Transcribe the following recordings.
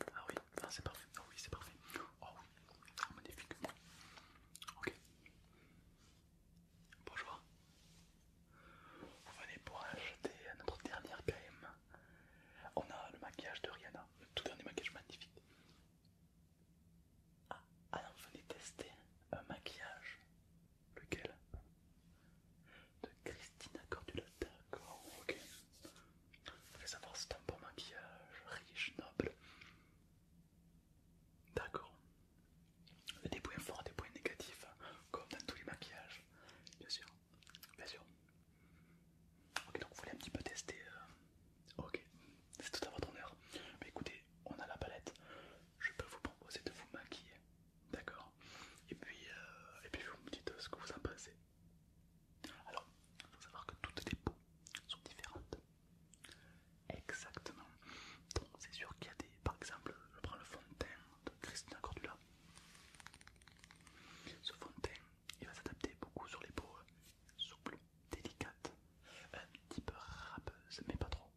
Ah oui, ah, c'est parfait. Ah oui, c'est parfait. Oh oui, ah, magnifique. Ok. Bonjour. Vous venez pour acheter notre dernière game, On a le maquillage de Rihanna, le tout dernier maquillage magnifique. Ah, non, vous venez tester un maquillage. Lequel De Christina Cordula, d'accord, ok. Vous savoir si c'est un bon maquillage, riche, noble. D'accord. Des points forts, des points négatifs, hein, comme dans tous les maquillages, bien sûr. Bien sûr. Ok, donc vous voulez un petit peu tester. Euh, ok, c'est tout à votre honneur. Mais écoutez, on a la palette. Je peux vous proposer de vous maquiller, d'accord et puis, euh, et puis vous me dites ce que vous en pensez. Alors, il faut savoir que toutes les peaux sont différentes. Exactement. Donc, c'est sûr qu'il y a des. Par exemple, je prends le fond de teint de Christina Cordula. Ce fond de teint, il va s'adapter beaucoup sur les peaux euh, souples, délicates, un petit peu râpeuses, mais pas trop.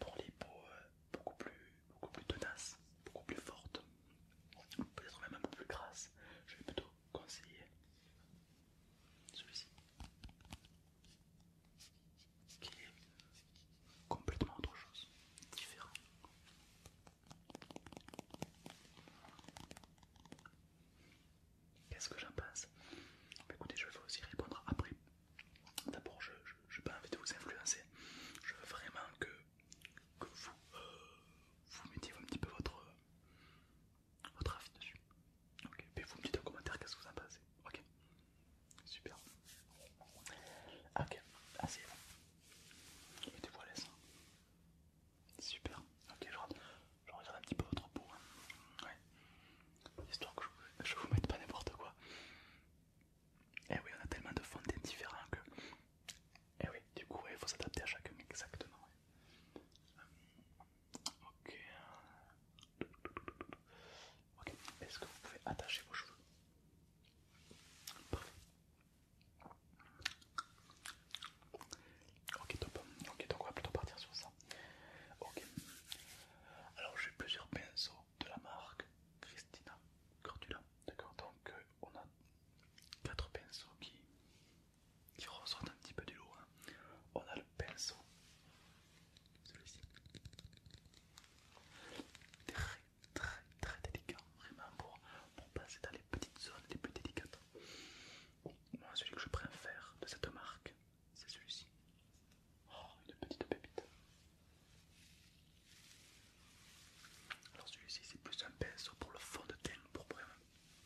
Pour les peaux euh, beaucoup plus, beaucoup plus tenaces, beaucoup plus fortes, peut-être même un peu plus grasse, je vais plutôt conseiller celui-ci qui est complètement autre chose, différent. Qu'est-ce que j'en pense bah, Écoutez, je vais aussi répondre après. D'abord, je n'ai pas envie vous influencer. Je veux vraiment que que vous, euh, vous mettiez un petit peu votre, euh, votre avis dessus. Ok, vous me dites en commentaire qu'est-ce que vous en pensez. Ok, super. Ok, Assez. vous Mettez-vous à l'aise. Super. Ok, je regarde, un petit peu votre peau. Hein. Ouais. Histoire que je, ne vous mette pas n'importe quoi. Et eh oui, on a tellement de fonds différents que et eh oui, du coup, il faut s'adapter à chacun exactement. Ok. Ok, est-ce que vous pouvez attacher vos cheveux Parfait. Ok, top. Ok, donc on va plutôt partir sur ça. Ok. Alors, j'ai plusieurs pinceaux de la marque Christina Cordula. D'accord, donc euh, on a quatre pinceaux qui, ressortent un petit peu du lot. Hein. On a le pinceau, celui-ci, très très très délicat, vraiment pour, pour passer dans les petites zones les plus délicates. Moi, celui que je préfère de cette marque, c'est celui-ci. Oh, une petite pépite. Alors celui-ci c'est plus un pinceau pour le fond de teint pour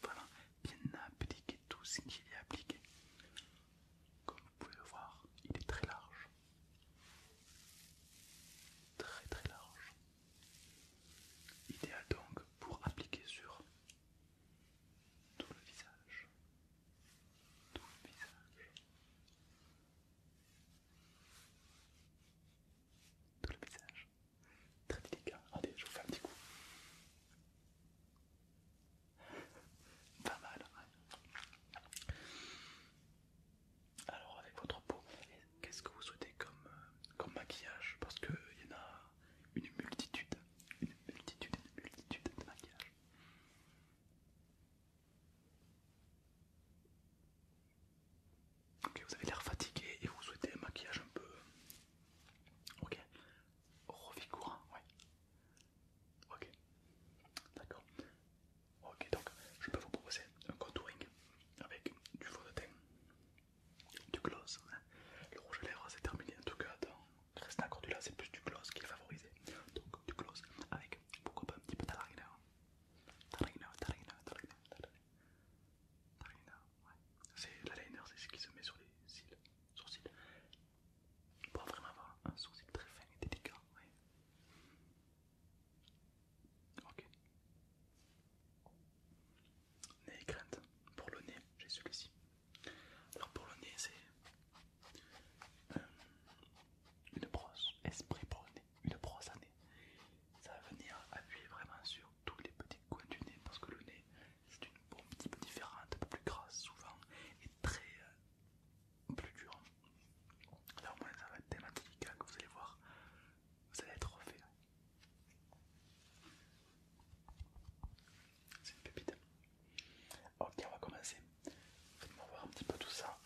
vraiment bien appliquer tout ce qu'il y a appliqué. Comme vous pouvez le voir, il est très large. Très très large. Idéal donc pour appliquer sur tout le visage. Tout le visage. Tout le visage. Très délicat. Attendez, je vous fais un petit coup. Pas mal. Hein. Alors avec votre peau, qu'est-ce que vous souhaitez comme, euh, comme maquillage Parce qu'il y en a une multitude, une multitude, une multitude de maquillages. Ok, vous avez l'air fatigué et vous souhaitez un maquillage un peu. Ok, revigorant, oui. Ok, d'accord. Ok, donc je peux vous proposer un contouring avec du fond de teint, du gloss. Hein. Le rouge à lèvres, c'est terminé. En tout cas, restez du là c'est plus du gloss qui est favorisé. Donc, du gloss avec pourquoi pas un petit peu d'aragna. Tarina, tarina, tarina, tarina, la liner c'est ce qui se met sur les cils, sourcils, pour vraiment avoir un sourcil très fin et délicat. Ok. Nez et crainte. Pour le nez, j'ai celui-ci. Alors pour le nez, c'est euh, une brosse esprit pour le nez, une brosse à nez. Ça va venir appuyer vraiment sur tous les petits coins du nez parce que le nez c'est une peau un petit peu différente, un peu plus grasse souvent et très euh, plus dur Là au moins ça va être thématique, hein, que vous allez voir, vous allez être refait. C'est une pépite. Ok, on va commencer. Faites-moi voir un petit peu tout ça.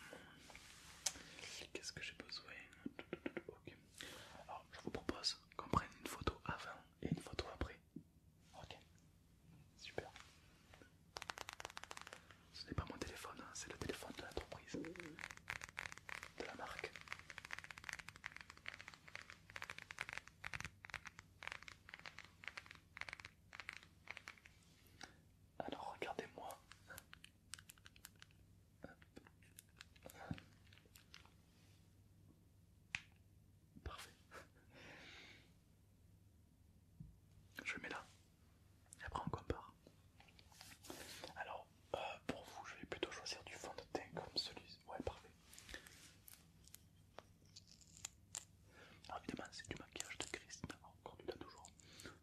Qu'est-ce que j'ai besoin alors, je vous propose qu'on prenne une photo avant et une photo après. Ok, super. Ce n'est pas mon téléphone, hein, c'est le téléphone de l'entreprise, de la marque. Alors regardez-moi Parfait. Je le mets là. Et après on compare. Alors, euh, pour vous, je vais plutôt choisir du fond de teint comme celui-ci. Ouais, parfait. Alors évidemment, c'est du maquillage de Christina, encore toujours.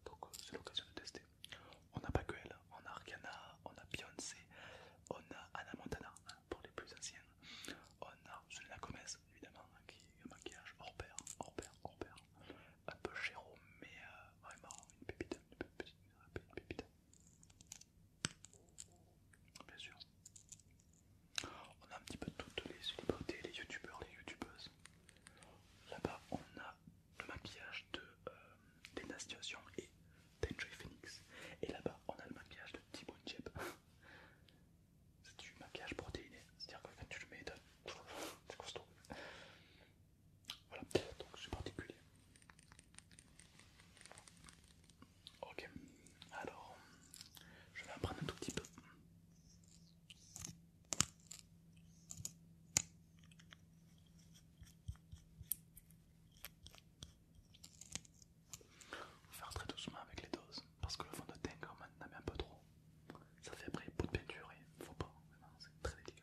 Donc euh, c'est l'occasion de tester. Hein. On a pas on a Arcana, on a Beyoncé, on a Anna Montana hein, pour les plus anciennes on a Selena Gomez évidemment hein, qui est un maquillage hors pair, hors pair, hors pair, un peu chéro mais euh, vraiment une pépite, une pépite, une pépite. Bien sûr. On a un petit peu toutes les célébrités, les youtubeurs, les youtubeuses. Là-bas on a le maquillage de euh, et d'Enjoy Phoenix. Et là-bas, on a le maquillage de Timon Jeb. C'est du maquillage protéiné, c'est-à-dire que quand tu le mets, c'est costaud. Voilà, donc c'est particulier. Ok, alors je vais en prendre un tout petit peu faire très doucement avec les doses, parce que le fond de teint quand même met un peu trop. Ça fait après peau de peinture et faut pas, c'est très délicat.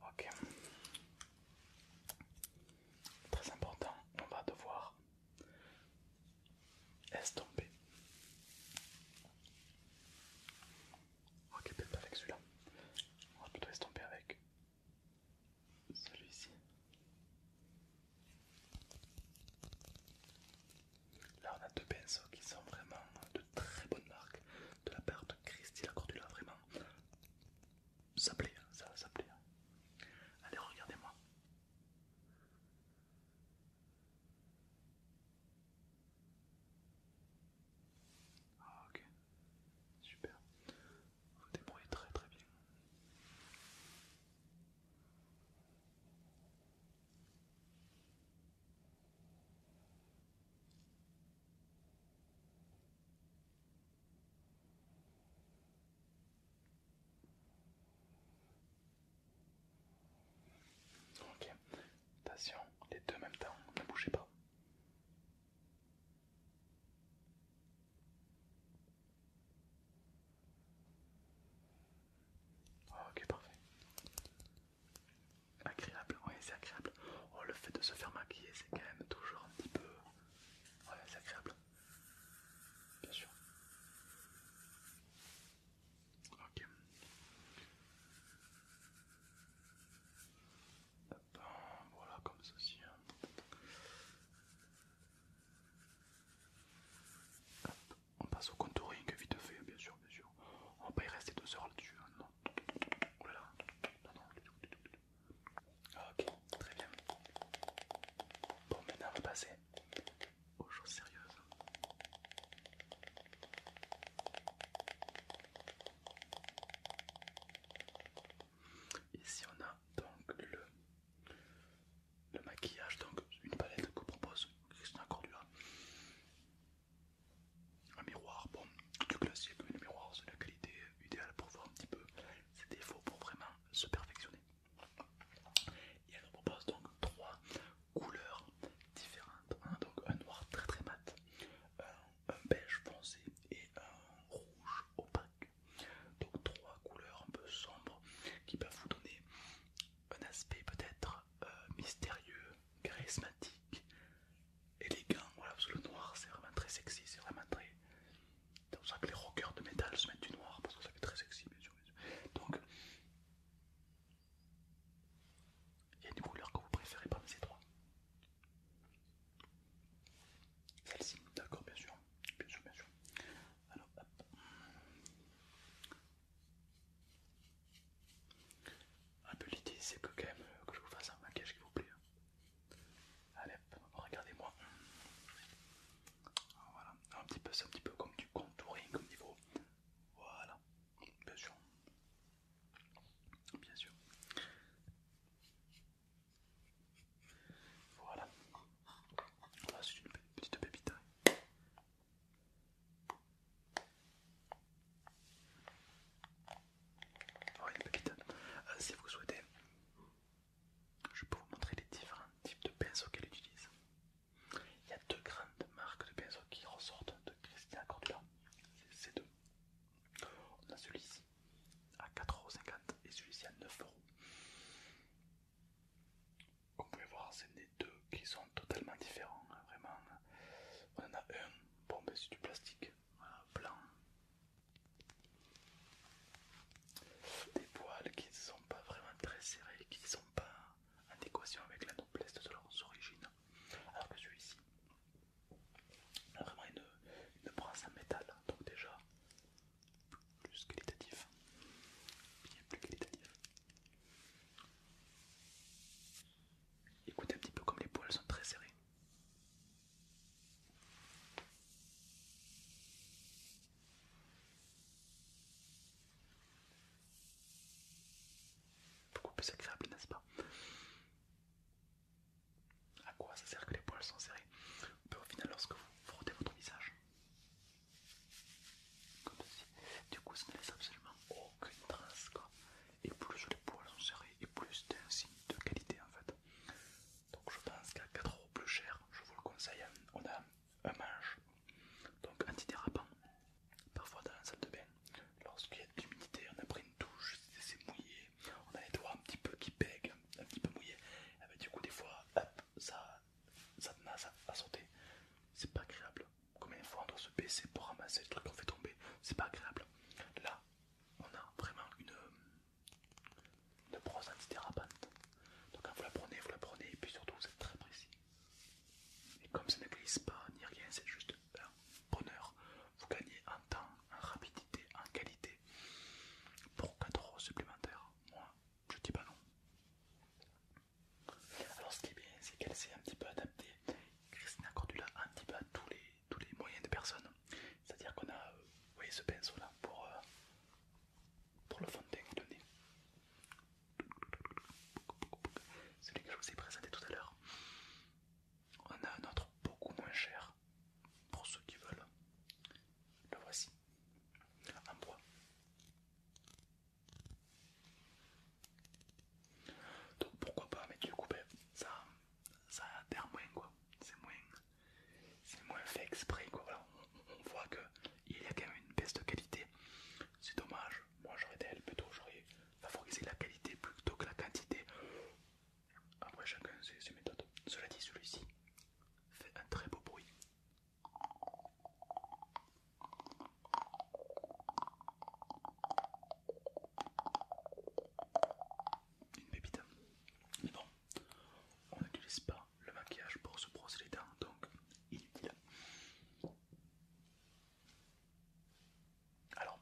Ok. Très important, on va devoir estomper. Ok, peut-être pas avec celui-là. On va tout estomper avec celui-ci. Là, on a deux pinceaux qui sont vraiment de très bonnes marques de la part de Christy Lacordula. Vraiment, ça plaît, hein, ça, ça plaît. Hein. Allez, regardez-moi. Ah, ok, super. Vous débrouillez très très bien. Ok, attention, les deux mêmes même temps, ne bougez pas. Oh, ok, parfait. Agréable, oui, c'est agréable. Oh, le fait de se faire maquiller, c'est quand même toujours un petit peu. c'est agréable. Bien sûr. Ok. voilà, comme ceci. Hein on passe au contouring vite fait, bien sûr, bien sûr. On va pas y rester deux heures là-dessus. Ok, très bien. Bon, maintenant on va passer aux choses sérieuses. Ici on a donc le le maquillage, donc une palette que propose Christian Cordula. Un miroir, bon, du classique, mais le miroir c'est la qualité idéale pour voir un petit peu ses défauts pour vraiment se perfectionner. Et elle propose donc trois couleurs différentes, hein, donc un noir très très mat, un, beige foncé et un rouge opaque. Donc trois couleurs un peu sombres qui peuvent vous donner un aspect peut-être euh, mystérieux, charismatique, élégant, voilà, parce que le noir c'est vraiment très sexy, c'est vraiment très... C'est pour ça que les rockers de métal se mettent du noir, parce que ça fait très sexy, bien sûr. Donc, il y a une couleur que vous préférez parmi ces trois. Celle-ci, d'accord, bien sûr, bien sûr, bien sûr. Alors, hop. Un peu l'idée, c'est que quand même euh, que je vous fasse un maquillage qui vous plaît. Hein. Allez, regardez-moi. Voilà, un petit peu, c'est un petit peu comme du contouring comme niveau. Voilà, bien sûr. Bien sûr. Voilà, ah, c'est une petite pépite. Hein. Ah, euh, si vous souhaitez, je peux vous montrer les différents types de pinceaux qu'elle utilise. Il y a deux grandes marques de pinceaux qui ressortent de Christina Cordula. C'est deux. On a celui-ci à 4,50€ et celui-ci à 9€. Comme vous pouvez voir, c'est des deux qui sont totalement différents. Hein, vraiment, hein. on en a un, bon, mais ben, c'est du plastique, hein, blanc. Des poils qui ne sont pas vraiment très serrés, qui ne sont pas en équation avec la noblesse de leurs origines. Alors que celui-ci a vraiment une, une brasse en métal, donc déjà plus qualitatif, plus qualitatif. Écoutez un petit peu comme les poils sont très serrés. Beaucoup plus agréable, n'est-ce pas À quoi ça sert que les poils sont serrés Au final, lorsque vous frottez votre visage, comme Du coup, ça ne laisse absolument aucune trace. Et plus les poils sont serrés, et plus c'est un signe de qualité en fait. Donc je pense qu'à 4€ plus cher, je vous le conseille, on a un manche, donc dérapant parfois dans la salle de bain. Lorsqu'il y a de l'humidité, on a pris une douche, c'est mouillé, on a les doigts un petit peu qui pèguent, un petit peu mouillé, et eh ben, du coup des fois, ça ça n'a à sauter, C'est pas agréable. Combien de fois on doit se baisser pour ramasser le truc qu'on fait tomber C'est pas agréable. Là, on a vraiment une, euh, brosse anti antidérapante. Donc quand hein, vous la prenez, vous la prenez et puis surtout vous êtes très précis. Et comme ça ne glisse pas ni rien, c'est juste un bonheur. Vous gagnez en temps, en rapidité, en qualité. Pour 4 euros supplémentaires, moi je dis pas non. Alors ce qui est bien, c'est qu'elle s'est un petit peu adaptée, Christina Cordula, un petit peu à tous les, tous les moyens de personnes. C'est-à-dire qu'on a euh, voyez ce pinceau là pour, euh, pour le fond de teint Celui que je vous ai présenté tout à l'heure. On a un autre beaucoup moins cher pour ceux qui veulent. Le voici. En bois. Donc pourquoi pas, mettre du coup, ben, ça, ça moins quoi. C'est moins, fait exprès quoi. on, voit qu'il y a quand même une baisse de qualité. C'est dommage. Moi j'aurais d'elle plutôt, j'aurais favorisé la qualité plutôt que la quantité. Après, chacun ses méthodes. Cela dit, celui-ci fait un très beau bruit. Une pépite. Mais bon, on n'utilise pas le maquillage pour se brosser les dents, donc inutile. Alors,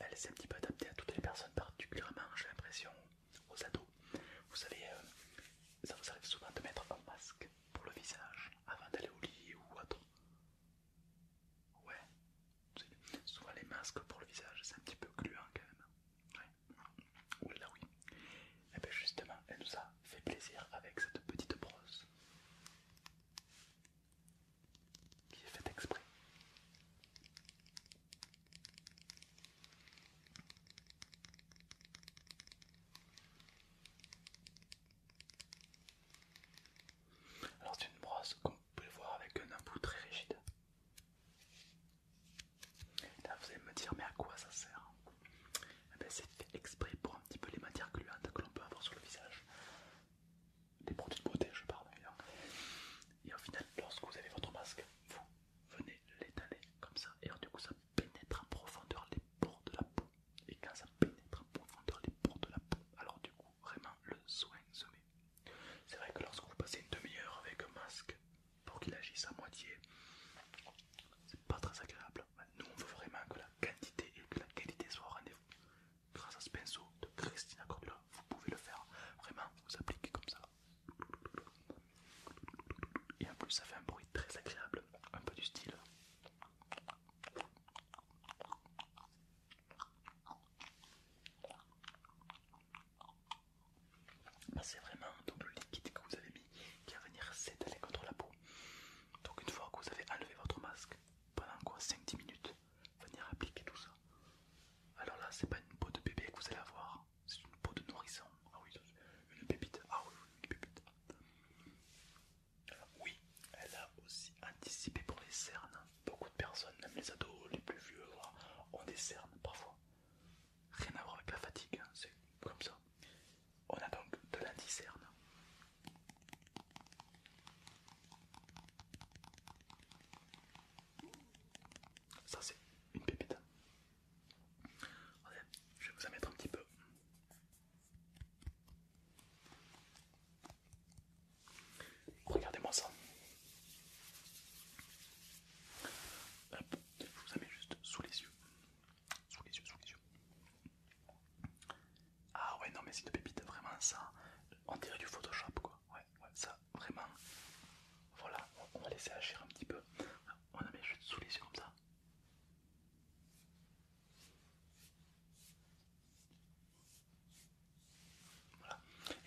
elle s'est un petit peu adaptée à toutes les personnes, particulièrement, j'ai l'impression, aux ados. Vous savez, euh, ça vous arrive souvent de mettre un masque pour le visage avant d'aller au lit ou autre. Ouais, soit les masques pour le visage, c'est un petit peu gluant quand même. Ouais, là oui. Et eh bien justement, elle nous a fait plaisir avec cette petite brosse qui est faite exprès. Alors c'est une brosse qu'on peut voir avec un embout très rigide. vous allez me dire mais à quoi ça sert eh ben, C'est fait exprès pour un petit peu les matières gluantes que l'on peut avoir sur le visage. Des produits de beauté je parle d'ailleurs. Et au final lorsque vous avez votre masque, vous venez l'étaler comme ça et du coup ça pénètre en profondeur les pores de la peau. Et quand ça pénètre en profondeur les pores de la peau, alors du coup, vraiment, le soin se met. C'est vrai que lorsque vous passez une demi-heure avec un masque pour qu'il agisse à moitié, c'est pas très agréable. Nous, on veut vraiment que la quantité et que la qualité soient au rendez-vous. Grâce à ce pinceau de Christina Cordula, vous pouvez le faire. Vraiment, vous appliquez comme ça. Et en plus, ça fait un bruit très agréable un peu du style. Bah, c'est vraiment le liquide que vous avez mis qui va venir s'étaler contre la peau. Donc une fois que vous avez enlevé votre masque, pendant quoi 5-10 minutes, venir appliquer tout ça. Alors là, c'est pas une peau de bébé que vous allez avoir, c'est une peau de nourrisson. Ah oui, une pépite. Ah oui, une pépite. Oui, elle a aussi anticipé pour les cernes. Beaucoup de personnes, même les ados, les plus vieux, ont des cernes parfois. Rien à voir avec la fatigue, hein, c'est comme ça. On a donc de l'anticerne. Ça c'est une pépite. Hein je vais vous en mettre un petit peu. Regardez-moi ça. je vous en mets juste sous les yeux. Sous les yeux, sous les yeux. Ah ouais, non mais c'est de pépite, vraiment ça. On dirait du Photoshop quoi. Ouais, ouais, ça, vraiment. Voilà, on va laisser agir un petit peu. On en met juste sous les yeux comme ça.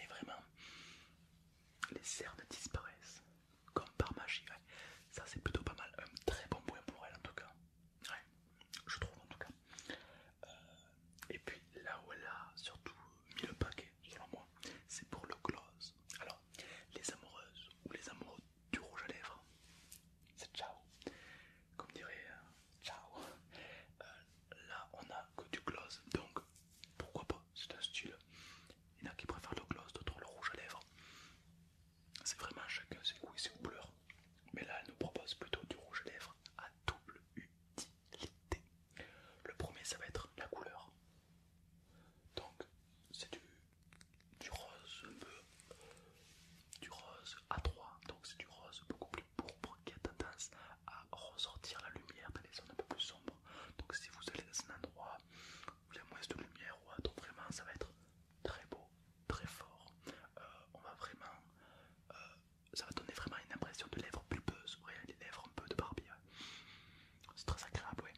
Et vraiment, les cernes disparaissent comme par magie. Ça, c'est plutôt pas mal. Un très bon point pour elle, en tout cas. Je trouve, en tout cas. Euh, et puis là où elle a surtout mis le paquet, selon moi, c'est pour le close Alors, les amoureuses ou les amoureux du rouge à lèvres. C'est ciao. Comme dirait euh, ciao. Euh, là on a que du gloss, donc pourquoi pas, c'est un style. Il y en a qui préfèrent le gloss, d'autres le rouge à lèvres. C'est vraiment chacun ses goûts et ses couleurs. Mais là elle nous propose plutôt du rouge à lèvres à double utilité. Le premier ça va être la couleur. Donc c'est du du rose un peu… du rose à 3 donc c'est du rose beaucoup plus pourpre qui a tendance à ressortir la lumière dans les zones un peu plus sombres. Donc si vous allez dans un endroit où il y a moins de lumière ou autre, vraiment ça va être très beau, très fort. Euh, on va vraiment, euh, ça va donner vraiment une impression de lèvres pulpeuses, ouais, les lèvres un peu de Barbie, C'est très agréable, ouais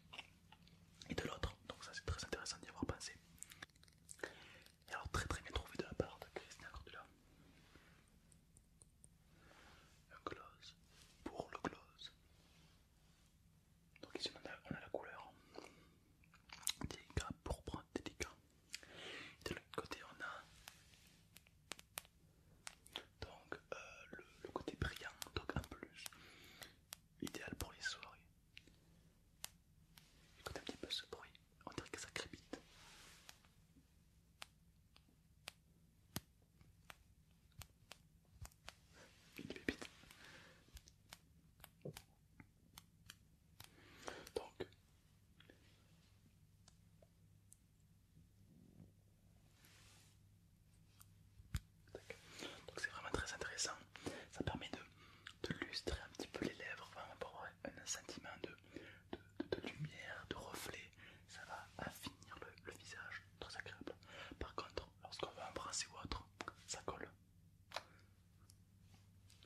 et de l'autre. Donc ça c'est très intéressant d'y avoir pensé. Et alors très très bien trouvé de la part de Christina Cordula. Un close pour le close. Donc ici on a, la couleur délicat, pourpre, délicat. de l'autre côté on a donc euh, le, le côté brillant, donc en plus idéal pour les soirées. Écoutez un petit peu ce bruit, on dirait que ça crépite. Une pépite. Donc, donc c'est vraiment très intéressant. Ça permet de, de lustrer un petit peu les lèvres, pour avoir un sentiment de, de, de, lumière, de reflet. Ça va affiner le, visage, très agréable. Par contre, lorsqu'on veut embrasser ou autre, ça colle.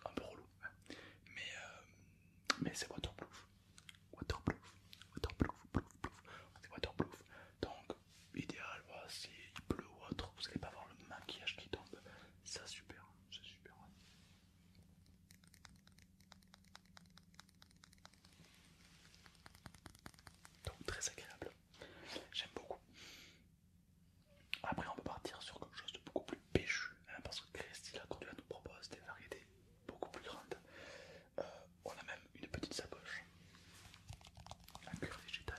Un peu relou, hein. mais, euh, mais c'est waterproof. Waterproof, waterproof, Waterproof. c'est waterproof. Donc idéal, si il pleut ou autre, vous n'allez pas voir le maquillage qui tombe, ça super, c'est super. Donc très agréable, j'aime beaucoup. Après on peut partir sur quelque chose de beaucoup plus péchu, hein, parce que Christy la nous propose des variétés beaucoup plus grandes. Euh, on a même une petite sacoche, en cuir végétal.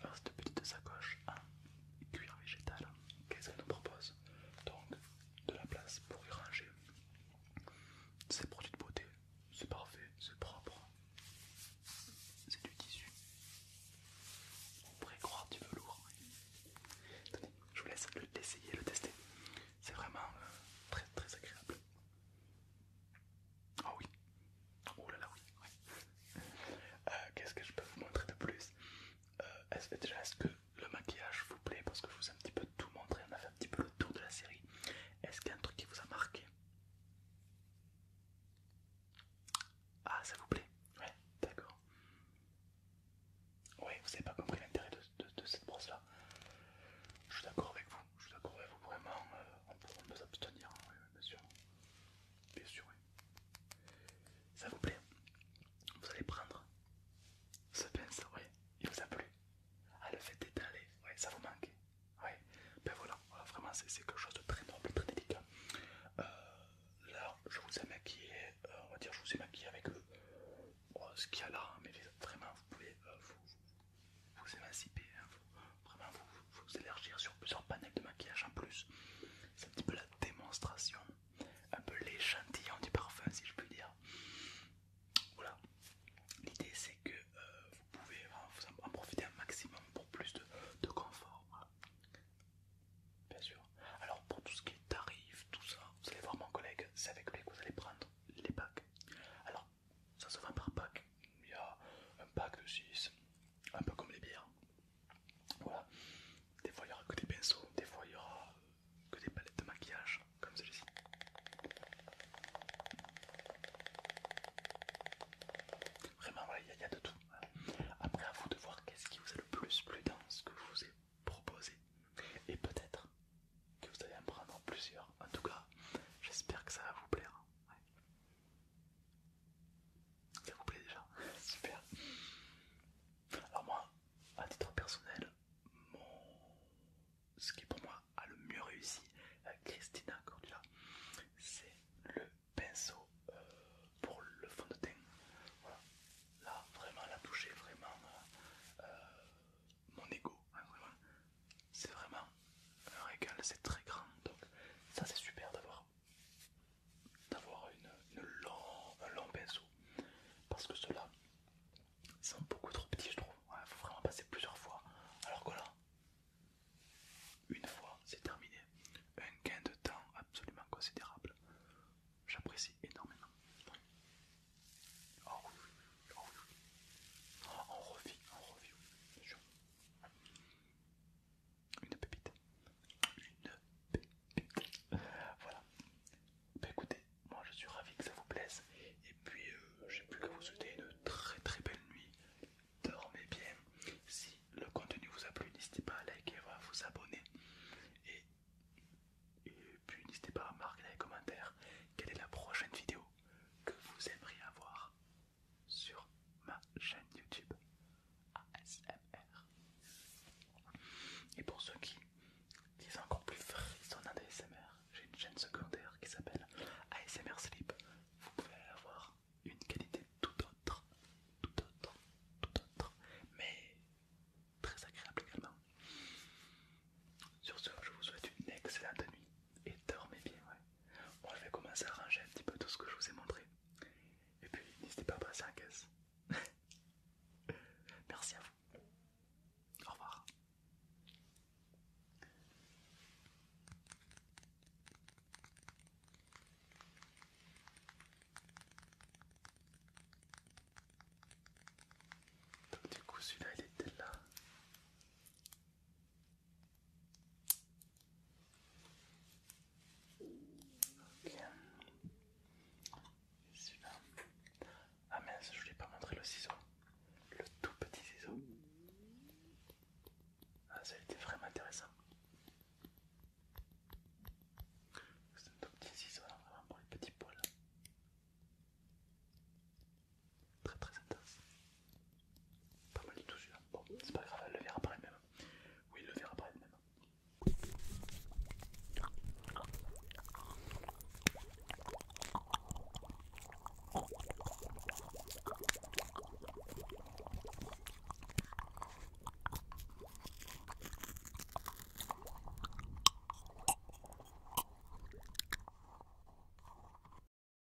Alors cette petite sacoche en cuir végétal, qu'est-ce qu'elle nous propose Donc de la place pour y ranger ses produits de beauté, c'est parfait, c'est propre, c'est du tissu. On pourrait croire du velours. je vous laisse l'essayer, le tester. C'est vraiment euh, très très agréable. Ah oh oui. Oh là là oui. Euh, qu'est-ce que je peux vous montrer de plus euh, est-ce, Déjà, est-ce que le maquillage vous plaît Parce que je vous ai un petit peu tout montré, on a fait un petit peu le tour de la série. Est-ce qu'il y a un truc qui vous a marqué Ah, ça vous plaît Ouais, d'accord. Oui, vous n'avez pas compris l'intérêt de, de cette brosse là. Je suis d'accord avec vous. Je vous d'accord vous, vraiment, euh, on, peut, s'abstenir, hein, oui, bien sûr. Bien sûr, oui. Ça vous plaît Vous allez prendre ce pince, oui, il vous a plu. Ah, le fait d'étaler, oui, ça vous manque. Oui, ben voilà, vraiment, c'est quelque chose de très noble, très délicat. Euh, là, je vous ai maquillé, euh, on va dire, je vous ai maquillé avec oh, ce qu'il y a là, mais vraiment, vous pouvez vous émanciper, hein. vous, vraiment vous, élargir sur plusieurs panels de maquillage en plus. C'est un petit peu la démonstration, un peu l'échantillon du parfum si je puis dire. Voilà, l'idée c'est que euh, vous pouvez en, profiter un maximum pour plus de, confort. Bien sûr. Alors pour tout ce qui est tarif, tout ça, vous allez voir mon collègue, c'est avec lui que vous allez prendre les packs. Alors ça se vend par pack, il y a un pack de 6, un peu comme les bières. Voilà, des fois il n'y aura que des pinceaux, des fois il aura euh, que des palettes de maquillage comme celle-ci. Vraiment, voilà, il y, a de tout. Après, à vous de voir qu'est-ce qui vous a le plus plu dans ce que je vous ai proposé. Et peut-être que vous allez en prendre plusieurs. En tout cas, j'espère que ça va vous plaire. Ça vous plaît déjà Super. Alors moi, à titre personnel, ce qui pour moi a le mieux réussi à Christina Cordula, c'est le pinceau euh, pour le fond de teint. Voilà. Là, vraiment, elle a vraiment euh, euh, mon ego. Hein, vraiment c'est vraiment un régal, c'est très grand. Donc ça c'est super d'avoir d'avoir une, un long pinceau. Parce que ceux-là sont beaucoup trop petits je trouve. Il faut vraiment passer plusieurs fois. Alors que là, une fois, c'est terminé. Un gain de temps absolument considérable. J'apprécie énormément. Oh oh oh, on revit, on revit, une pépite. Une pépite. Voilà. Bah écoutez, moi je suis ravi que ça vous plaise. Et puis euh, j'ai plus que vous souhaiter une très très belle nuit. Dormez bien. Si le contenu vous a plu, n'hésitez pas à liker, à vous abonner. Et, puis n'hésitez pas à marquer dans les commentaires quelle est la prochaine vidéo que vous aimeriez avoir sur ma chaîne YouTube ASMR. Et pour ceux qui disent encore plus frissonnant asmr j'ai une chaîne secondaire qui s'appelle ASMR Sleep. Vous pouvez avoir une qualité tout autre, tout autre, tout autre, mais très agréable également. Sur ce, je vous souhaite une excellente nuit et dormez bien. Ouais. On je vais commencer à ranger un petit peu tout ce que je vous ai montré. Et puis n'hésitez pas à passer en caisse. Merci à vous. Au revoir. Donc du coup celui-là il était là. Ok. Ah mince, je ne pas montrer le ciseau. Le tout petit ciseau. Ah, ça a été vraiment intéressant. C'est un tout petit ciseau, hein, vraiment pour les petits poils. Très très intense. Pas mal du tout celui-là. Bon, c'est pas grave, elle le verra par elle-même. Oui, elle le verra par elle-même.